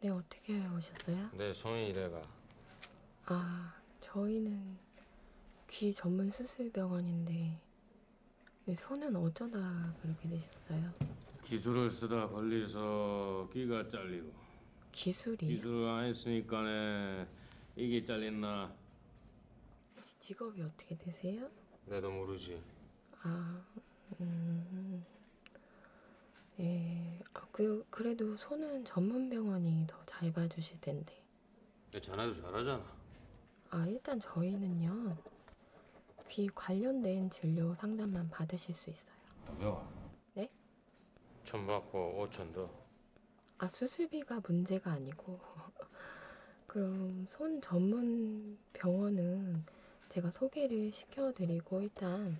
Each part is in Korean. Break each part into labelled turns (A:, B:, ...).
A: 네, 어떻게 오셨어요? 네, 저는 이래가. 아, 저희는 귀 전문 수술병원인데 네, 손은 어쩌다 그렇게 되셨어요? 기술을 쓰다 걸려서 귀가 잘리고. 기술이? 기술을 안 했으니까네 이게 잘렸나. 혹시 직업이 어떻게 되세요? 나도 모르지. 아, 음, 예, 아, 그, 그래도 손은 전문병원이 더 잘 봐주실 텐데. 야, 자네도 잘하잖아. 아, 일단 저희는요, 귀 관련된 진료 상담만 받으실 수 있어요. 왜요? 네? 천 받고 오천 더. 아, 수술비가 문제가 아니고. 그럼 손 전문 병원은 제가 소개를 시켜드리고 일단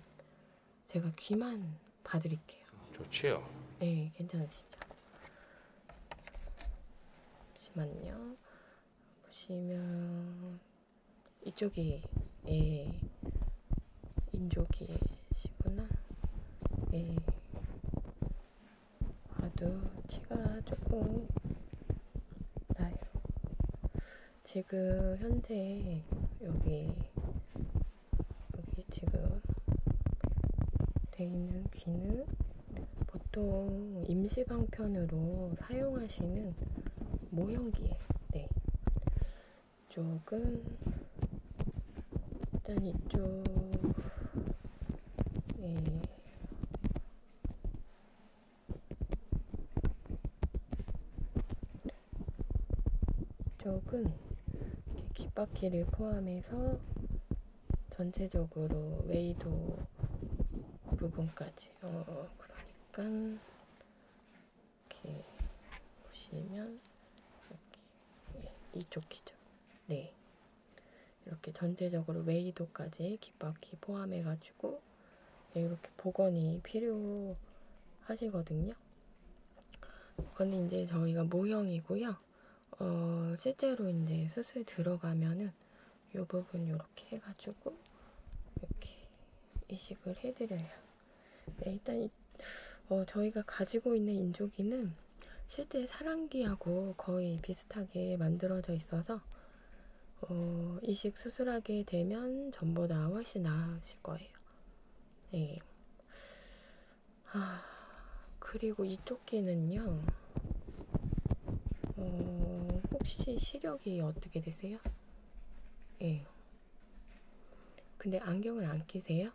A: 제가 귀만 봐드릴게요. 좋지요. 네, 괜찮으시죠? 잠시만요. 보시면 이쪽이 예, 인조기시구나. 예. 봐도 티가 조금 나요. 지금 현재 여기 여기 지금 돼 있는 귀는 보통 임시방편으로 사용하시는 모형기에 네. 이쪽은 일단 이쪽 네. 쪽은 귓바퀴를 포함해서 전체적으로 웨이도 부분까지 어 그러니까 이렇게 보시면 이렇게 이쪽 귀죠 네 이렇게 전체적으로 웨이도까지 귓바퀴 포함해 가지고 네, 이렇게 복원이 필요하시거든요. 근데 이제 저희가 모형이고요. 어, 실제로 이제 수술 들어가면은 이 부분 이렇게 해가지고 이렇게 이식을 해드려요. 네, 일단 이, 어, 저희가 가지고 있는 인조기는 실제 사랑기하고 거의 비슷하게 만들어져 있어서 어, 이식 수술하게 되면 전보다 훨씬 나으실 거예요. 네. 아, 그리고 이쪽 귀는요, 어, 혹시 시력이 어떻게 되세요? 예. 네. 근데 안경을 안 끼세요?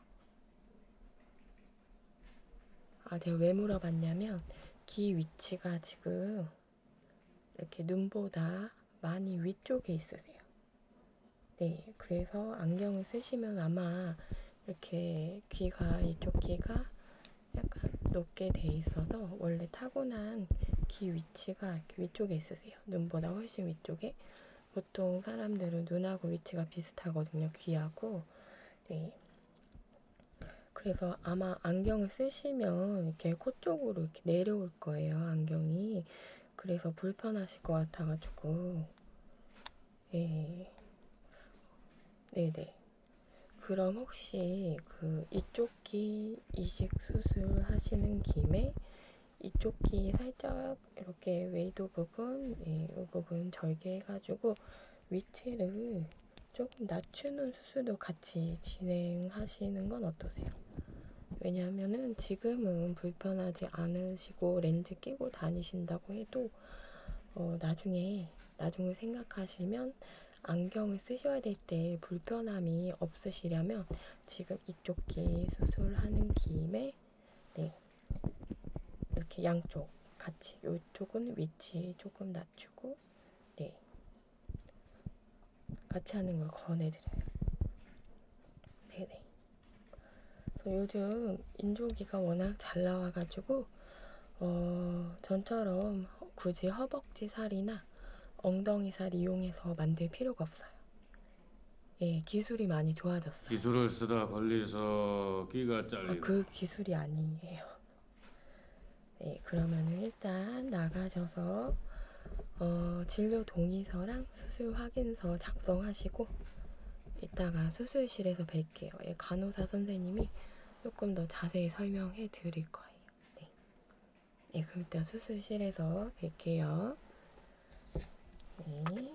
A: 아, 제가 왜 물어봤냐면, 귀 위치가 지금 이렇게 눈보다 많이 위쪽에 있으세요. 네, 그래서 안경을 쓰시면 아마 이렇게 귀가, 이쪽 귀가 약간 높게 돼 있어서 원래 타고난 귀 위치가 이렇게 위쪽에 있으세요. 눈보다 훨씬 위쪽에. 보통 사람들은 눈하고 위치가 비슷하거든요. 귀하고. 네. 그래서 아마 안경을 쓰시면 이렇게 코 쪽으로 이렇게 내려올 거예요, 안경이. 그래서 불편하실 것 같아가지고. 예. 네네. 그럼 혹시 그 이쪽 귀 이식 수술 하시는 김에 이쪽 귀 살짝 이렇게 웨이도 부분, 예, 이 부분 절개해가지고 위치를 조금 낮추는 수술도 같이 진행하시는 건 어떠세요? 왜냐하면은 지금은 불편하지 않으시고 렌즈 끼고 다니신다고 해도 어, 나중에 나중을 생각하시면 안경을 쓰셔야 될 때 불편함이 없으시려면 지금 이쪽 귀 수술하는 김에 네. 이렇게 양쪽 같이 이쪽은 위치 조금 낮추고 네 같이 하는 걸 권해드려요. 네네. 요즘 인조기가 워낙 잘 나와가지고 어, 전처럼 굳이 허벅지 살이나 엉덩이 살 이용해서 만들 필요가 없어요. 예, 기술이 많이 좋아졌어요. 기술을 쓰다 걸려서 끼가 잘리고. 아, 그 기술이 아니에요. 네, 그러면은 일단 나가셔서 어, 진료 동의서랑 수술 확인서 작성하시고 이따가 수술실에서 뵐게요. 예, 간호사 선생님이 조금 더 자세히 설명해 드릴 거예요. 네, 예, 그럼 이따 수술실에서 뵐게요. 네.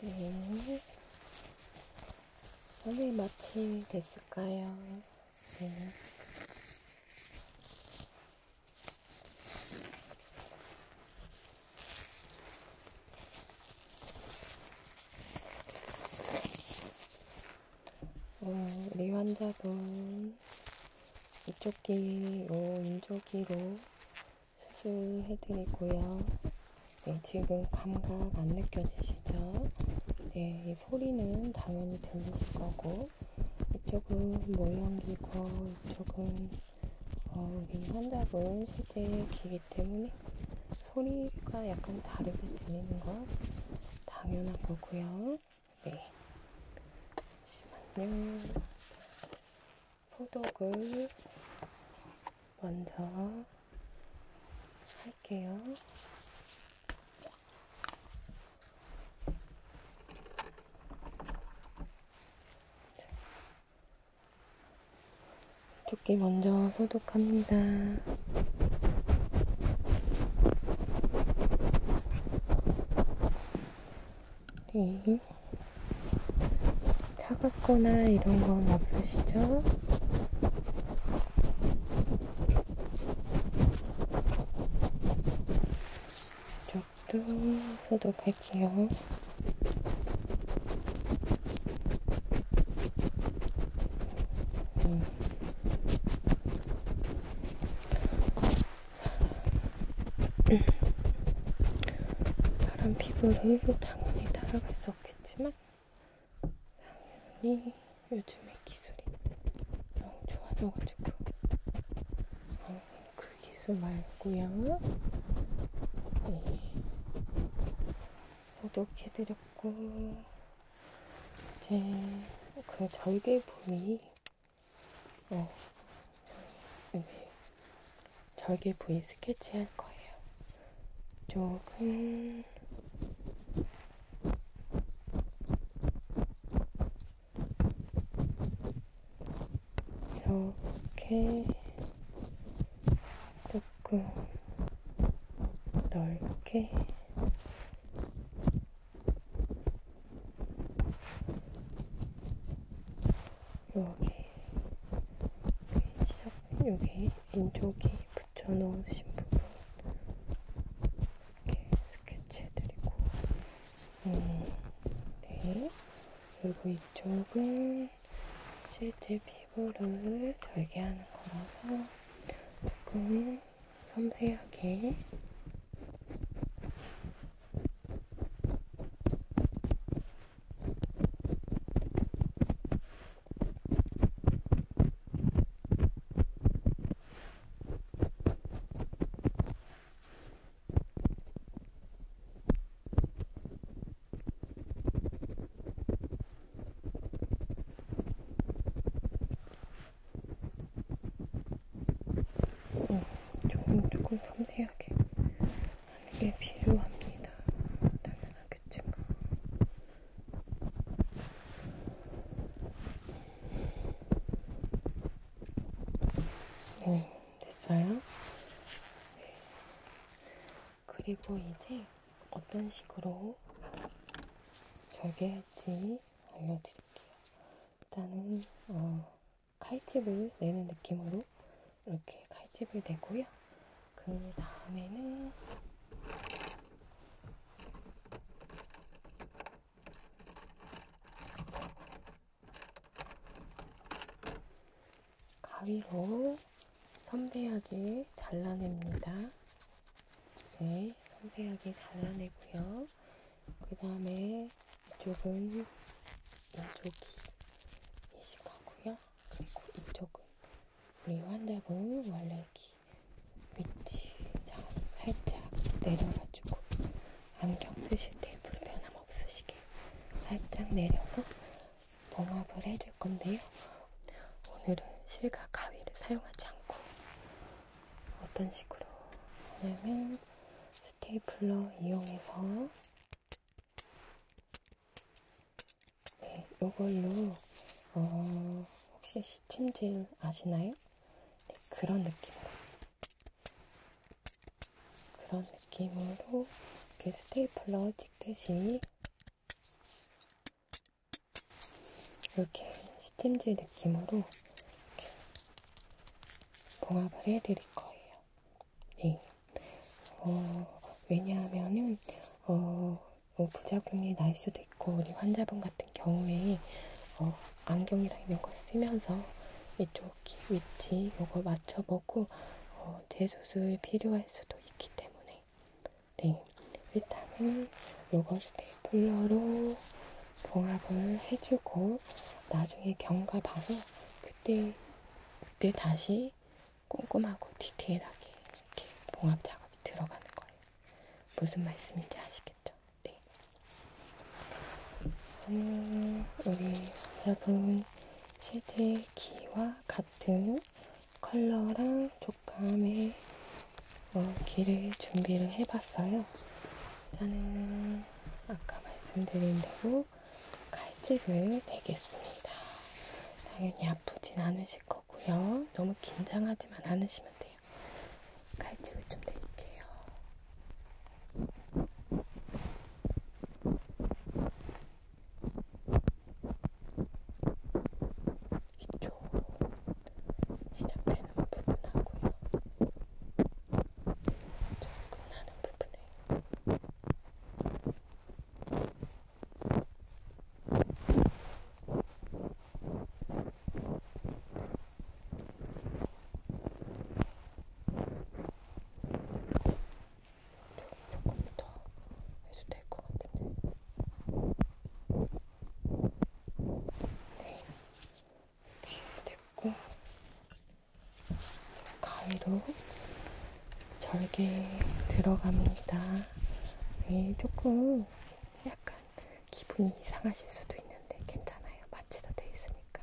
A: 네. 오늘 마치 됐을까요? 네. 어, 우리 환자분 이쪽 귀로 인조기로 수술해드리고요. 네, 지금 감각 안 느껴지시죠? 네, 이 소리는 당연히 들리실 거고 이쪽은 모형기고 이쪽은 어, 우리 환자분 실제 귀기 때문에 소리가 약간 다르게 들리는 건 당연한 거고요. 네. 잠시만요. 소독을 먼저 할게요. 두께 먼저 소독합니다. 네. 차갑거나 이런 건 없으시죠? 이쪽도 소독할게요. 사람 피부를 당연히 따라갈 수 없겠지만 당연히 요즘에 기술이 너무 좋아져가지고 어, 그 기술 말고요 네. 소독해드렸고 이제 그 절개품이 어, 여기 절개 부위 스케치 할 거예요. 조금 이렇게 조금 넓게 여기 여기 시작 여기 인조기 붙여 넣으신 부분 이렇게 스케치해드리고 음, 네 그리고 이쪽은 실제 피부를 덜게 하는 거라서 조금 섬세하게 음, 조금 조금 섬세하게 하는 게 필요합니다. 당연하겠죠. 네, 됐어요. 네. 그리고 이제 어떤 식으로 절개할지 알려드릴게요. 일단은 어, 칼집을 내는 느낌으로 이렇게 칼집을 내고요. 그 다음에는 가위로 섬세하게 잘라냅니다. 네, 섬세하게 잘라내고요. 그 다음에 이쪽은 이쪽이 예식하고요. 그리고 이쪽은 우리 환자분 원래 기 위치 자 살짝 내려가지고 안경 쓰실 때 불편함 없으시게 살짝 내려서 봉합을 해줄 건데요. 오늘은 실과 가위를 사용하지 않고 어떤 식으로 하냐면 스테이플러 이용해서 네, 요걸로 어, 혹시 시침질 아시나요? 네, 그런 느낌으로 그런 느낌으로 이렇게 스테이플러 찍듯이 이렇게 시침질 느낌으로 이렇게 봉합을 해드릴 거예요. 네. 어, 왜냐하면은, 어, 어, 부작용이 날 수도 있고, 우리 환자분 같은 경우에, 어, 안경이랑 이런 걸 쓰면서 이쪽 귀 위치 요거 맞춰보고, 어, 재수술 필요할 수도 있기 때문에. 네. 일단은 요걸 스테이플러로 봉합을 해주고 나중에 경과 봐서 그때 그때 다시 꼼꼼하고 디테일하게 이렇게 봉합 작업이 들어가는 거예요. 무슨 말씀인지 아시겠죠? 네. 음, 우리 여러분 실제 귀와 같은 컬러랑 촉감의 어, 길을 준비를 해봤어요. 일단은 아까 말씀드린 대로 칼집을 베겠습니다. 당연히 아프진 않으실 거고요. 너무 긴장하지만 않으시면 돼요. 칼집을 좀 드릴게요. 이쪽, 시작되는 부분하고요. 좀 끝나는 부분에 조금 더 해도 될 것 같은데. 네. 됐고 가위로 절개 들어갑니다. 네, 조금 약간 기분이 이상하실 수도 있는데 괜찮아요. 마취도 돼 있으니까.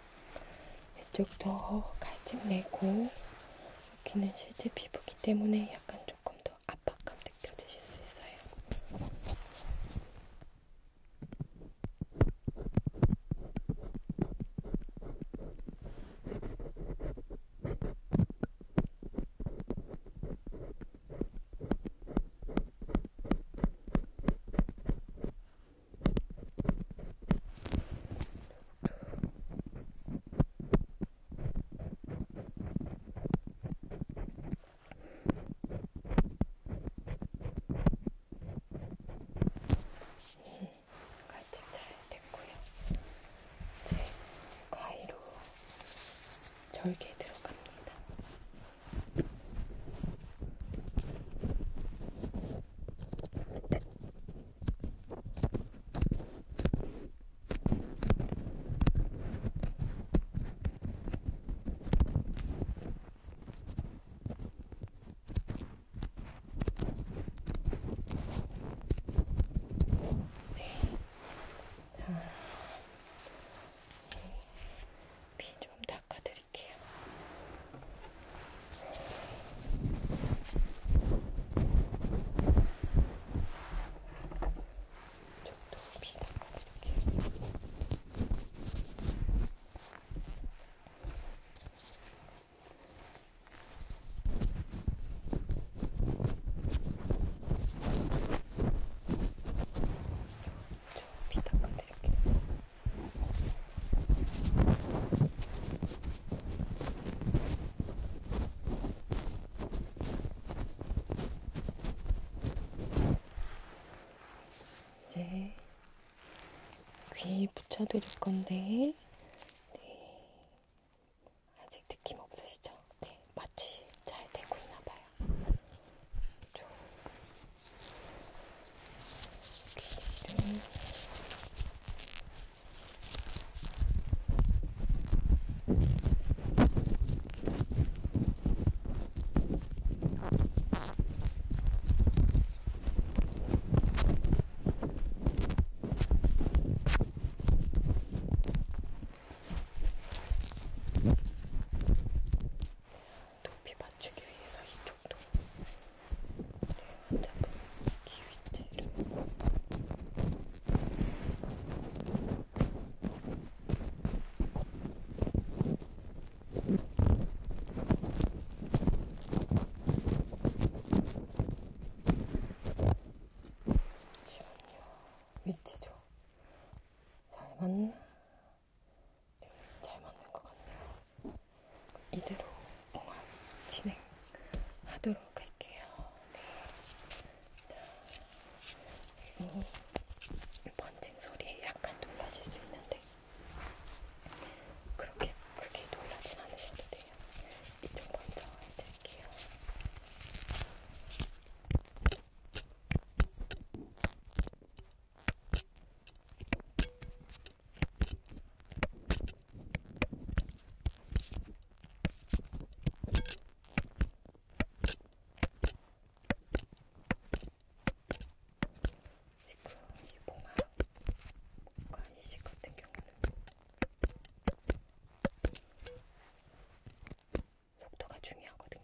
A: 이쪽도 칼집 내고 여기는 실제 피부기 때문에 약간 조금 더 압박감 느껴지실 수 있어요. 예, 갈등 잘 됐고요. 이제 가위로 절개 들어갑니다. 네. 자, 네. 피 좀 닦아드릴게요. 저도 비 닦아드릴게요. 저비 닦아드릴게요. 이제 귀 붙여드릴 건데, 네. 아직 느낌 없으시죠? 네, 마취 잘 되고 있나봐요. 좀 귀를 높이 맞추기 위해서 이쪽도 어차피 기위체를 시원해요. 위치죠. 잘 맞나? 네, 잘 맞는 것 같네요. 이대로 공항 진행하도록 할게요. 네. 자, 음, 번진 소리에 약간 놀라실 수 있는데 그렇게 크게 놀라진 않으셔도 돼요. 이쪽 먼저 해드릴게요. 지금 이 봉화과 이식 같은 경우는 속도가 중요하거든요.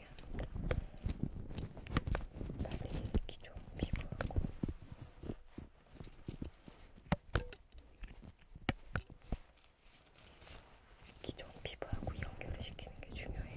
A: 중요하니까 빨리 기존 피부하고 기존 피부하고 연결을 시키는 게 중요해요.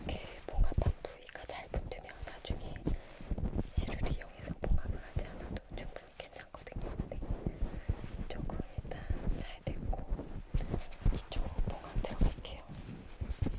A: 이렇게 봉합한 부위가 잘 붙으면 나중에 실을 이용해서 봉합을 하지 않아도 충분히 괜찮거든요. 근데 이쪽은 일단 잘 됐고 이쪽 봉합 들어갈게요. 이렇게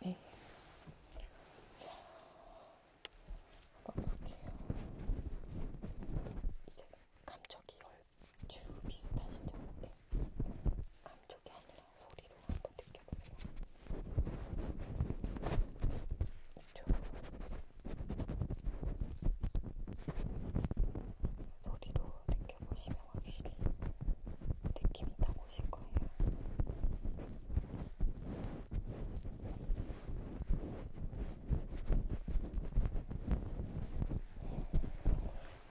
A: 네. 자, 한번 볼게요. 이제 감촉이 얼추 비슷하시죠? 네. 감촉이 아니라 소리로 하는 한번 느껴보세요. 초 소리로 느껴보시면 확실히 느낌이 딱 오실 거예요.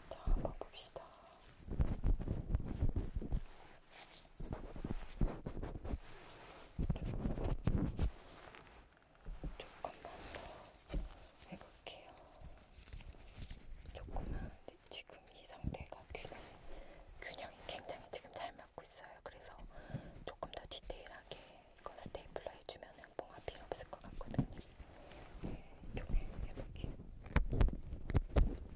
A: 자, 한번 봅시다. 조금만 더 해볼게요. 조금만 네, 지금 이 상태가 균형, 균형이 굉장히 지금 잘 맞고 있어요. 그래서 조금 더 디테일하게 이거 스테이플러 해주면 봉화 필요 없을 것 같거든요. 네, 조금 해볼게요.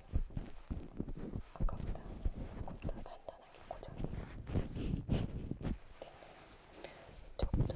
A: 아까보다 조금 더 단단하게 고정이 됐네요. 이쪽도 이쪽도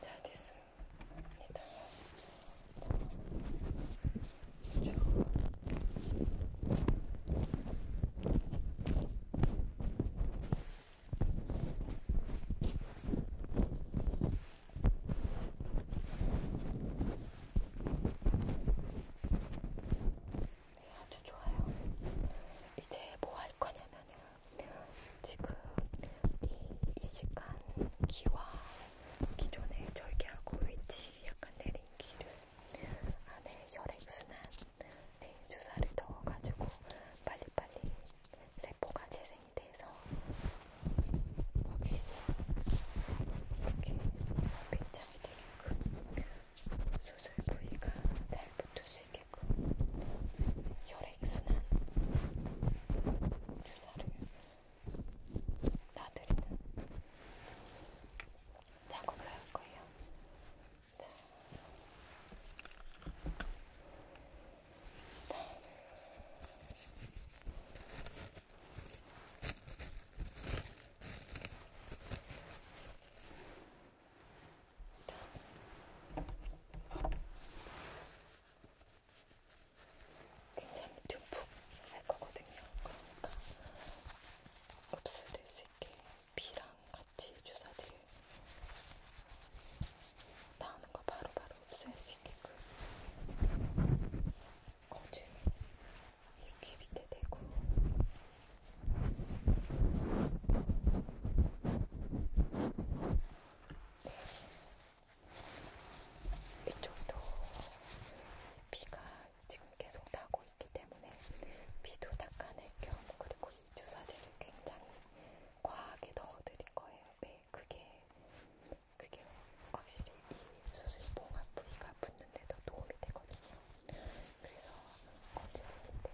A: 잘 됐습니다. 네, 아주 좋아요. 이제 뭐 할 거냐면요. 지금 이 이식한 귀와 기존에 절개하고 위치 약간 내린 귀를 안에 혈액순환 네, 주사를 넣어가지고 빨리빨리 세포가 재생이 돼서 확실히 이렇게 팽창이 되게끔 수술 부위가 잘 붙을 수 있게끔 혈액순환 주사를 놔드리는 작업을 할 거예요. 자, 일단 굉장히 듬뿍 할 거거든요. 그러니까 흡수될 수 있게 비랑 같이 주사들 나오는 거 바로바로 흡수할 수 있게끔 거진 이귀 밑에 대고 이쪽도 비가 지금 계속 나고 있기 때문에 비도 닦아낼 겸 그리고 이 주사제를 굉장히 과하게 넣어드릴 거예요. 네, 그게 그게 확실히 이 수술 봉합 부위가 붙는데도 도움이 되거든요. 그래서 거짓말인데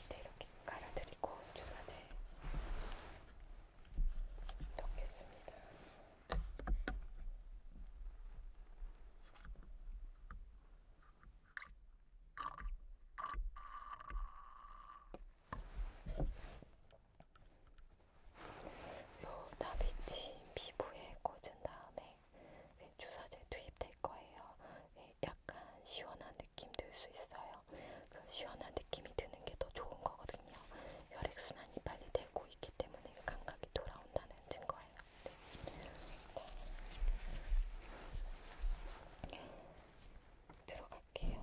A: 밑에 이렇게 깔아드리고 주사제 넣겠습니다. 요 나비치 피부에 꽂은 다음에 네, 네, 주사제 투입될 거예요. 네, 약간 시원한 느낌 들 수 있어요. 그 시원한 느낌이 드는 게 더 좋은 거거든요. 혈액순환이 빨리 되고 있기 때문에 감각이 돌아온다는 증거예요. 네. 네. 들어갈게요.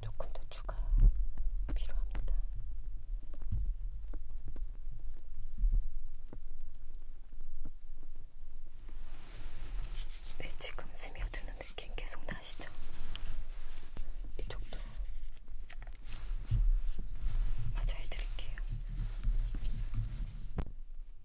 A: 조금 더 추가 필요합니다. 네, 지금 스며드는 느낌 계속 나시죠? 이쪽도 마저 해드릴게요.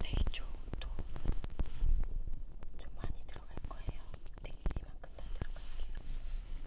A: 되게 네, 좋도 좀 많이 들어갈 거예요. 네, 이만큼 다 들어갈게요. 네,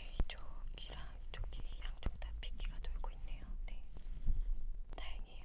A: 이쪽이랑 이쪽이 양쪽 다 핏기가 돌고 있네요. 네, 다행이에요.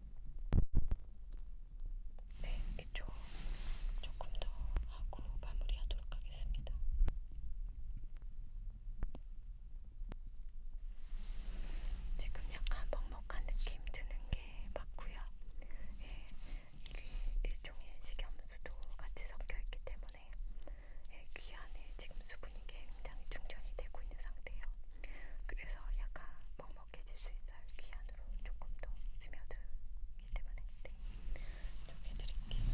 A: 네, 이쪽 조금 더 하고 마무리하도록 하겠습니다. 지금 약간 먹먹한 느낌 드는 게 맞고요. 예, 이게 일종의 식염수도 같이 섞여 있기 때문에 예, 귀 안에 지금 수분이 굉장히 충전이 되고 있는 상태예요. 그래서 약간 먹 먹혀질 수 있어요. 귀 안으로 조금 더 스며들기 때문에 그때 네. 좀 해드릴게요.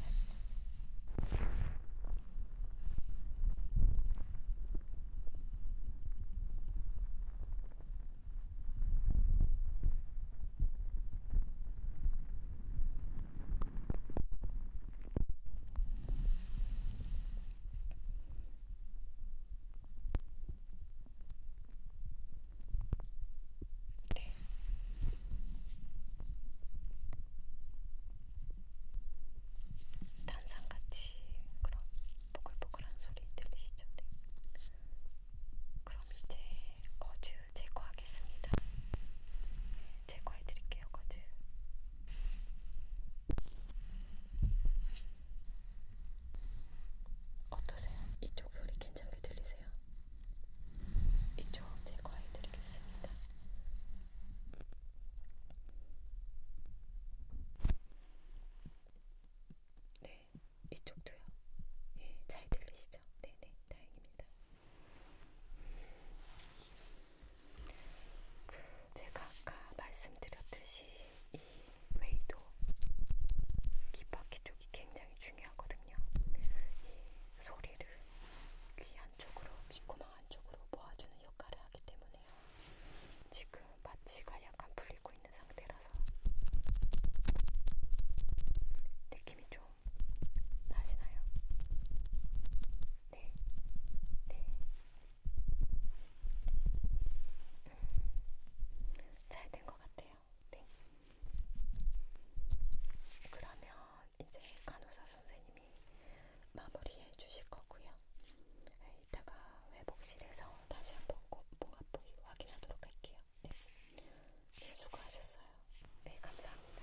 A: 네, 네. 탄산같이 그런 보글보글한 소리 들리시죠? 네. 그럼 이제 거즈 제거하겠습니다. 네, 제거해드릴게요, 거즈. 어떠세요? 이쪽 소리 괜찮게 들리세요? 이쪽 제거해 드리겠습니다. 네, 이쪽도요. 네, 잘 들리시죠? 네, 네, 다행입니다. 그 제가 아까 말씀드렸듯이 이 웨이도 귀바퀴 쪽이 굉장히 중요하거든요. 이 소리를 귀 안쪽으로, 귀구멍 안쪽으로 모아주는 역할을 하기 때문에요. 지금 마취가 약간 풀리고 있는 상태라서 느낌이 좀 나시나요? 네, 네. 음, 잘된것 같아요. 네. 그러면 이제 간호사 선생님이 마무리해 주실 거고요. 네, 이따가 회복실에서 다시 한번 목 아프기 확인하도록 할게요. 네. 네, 수고하셨어요. 네, 감사합니다.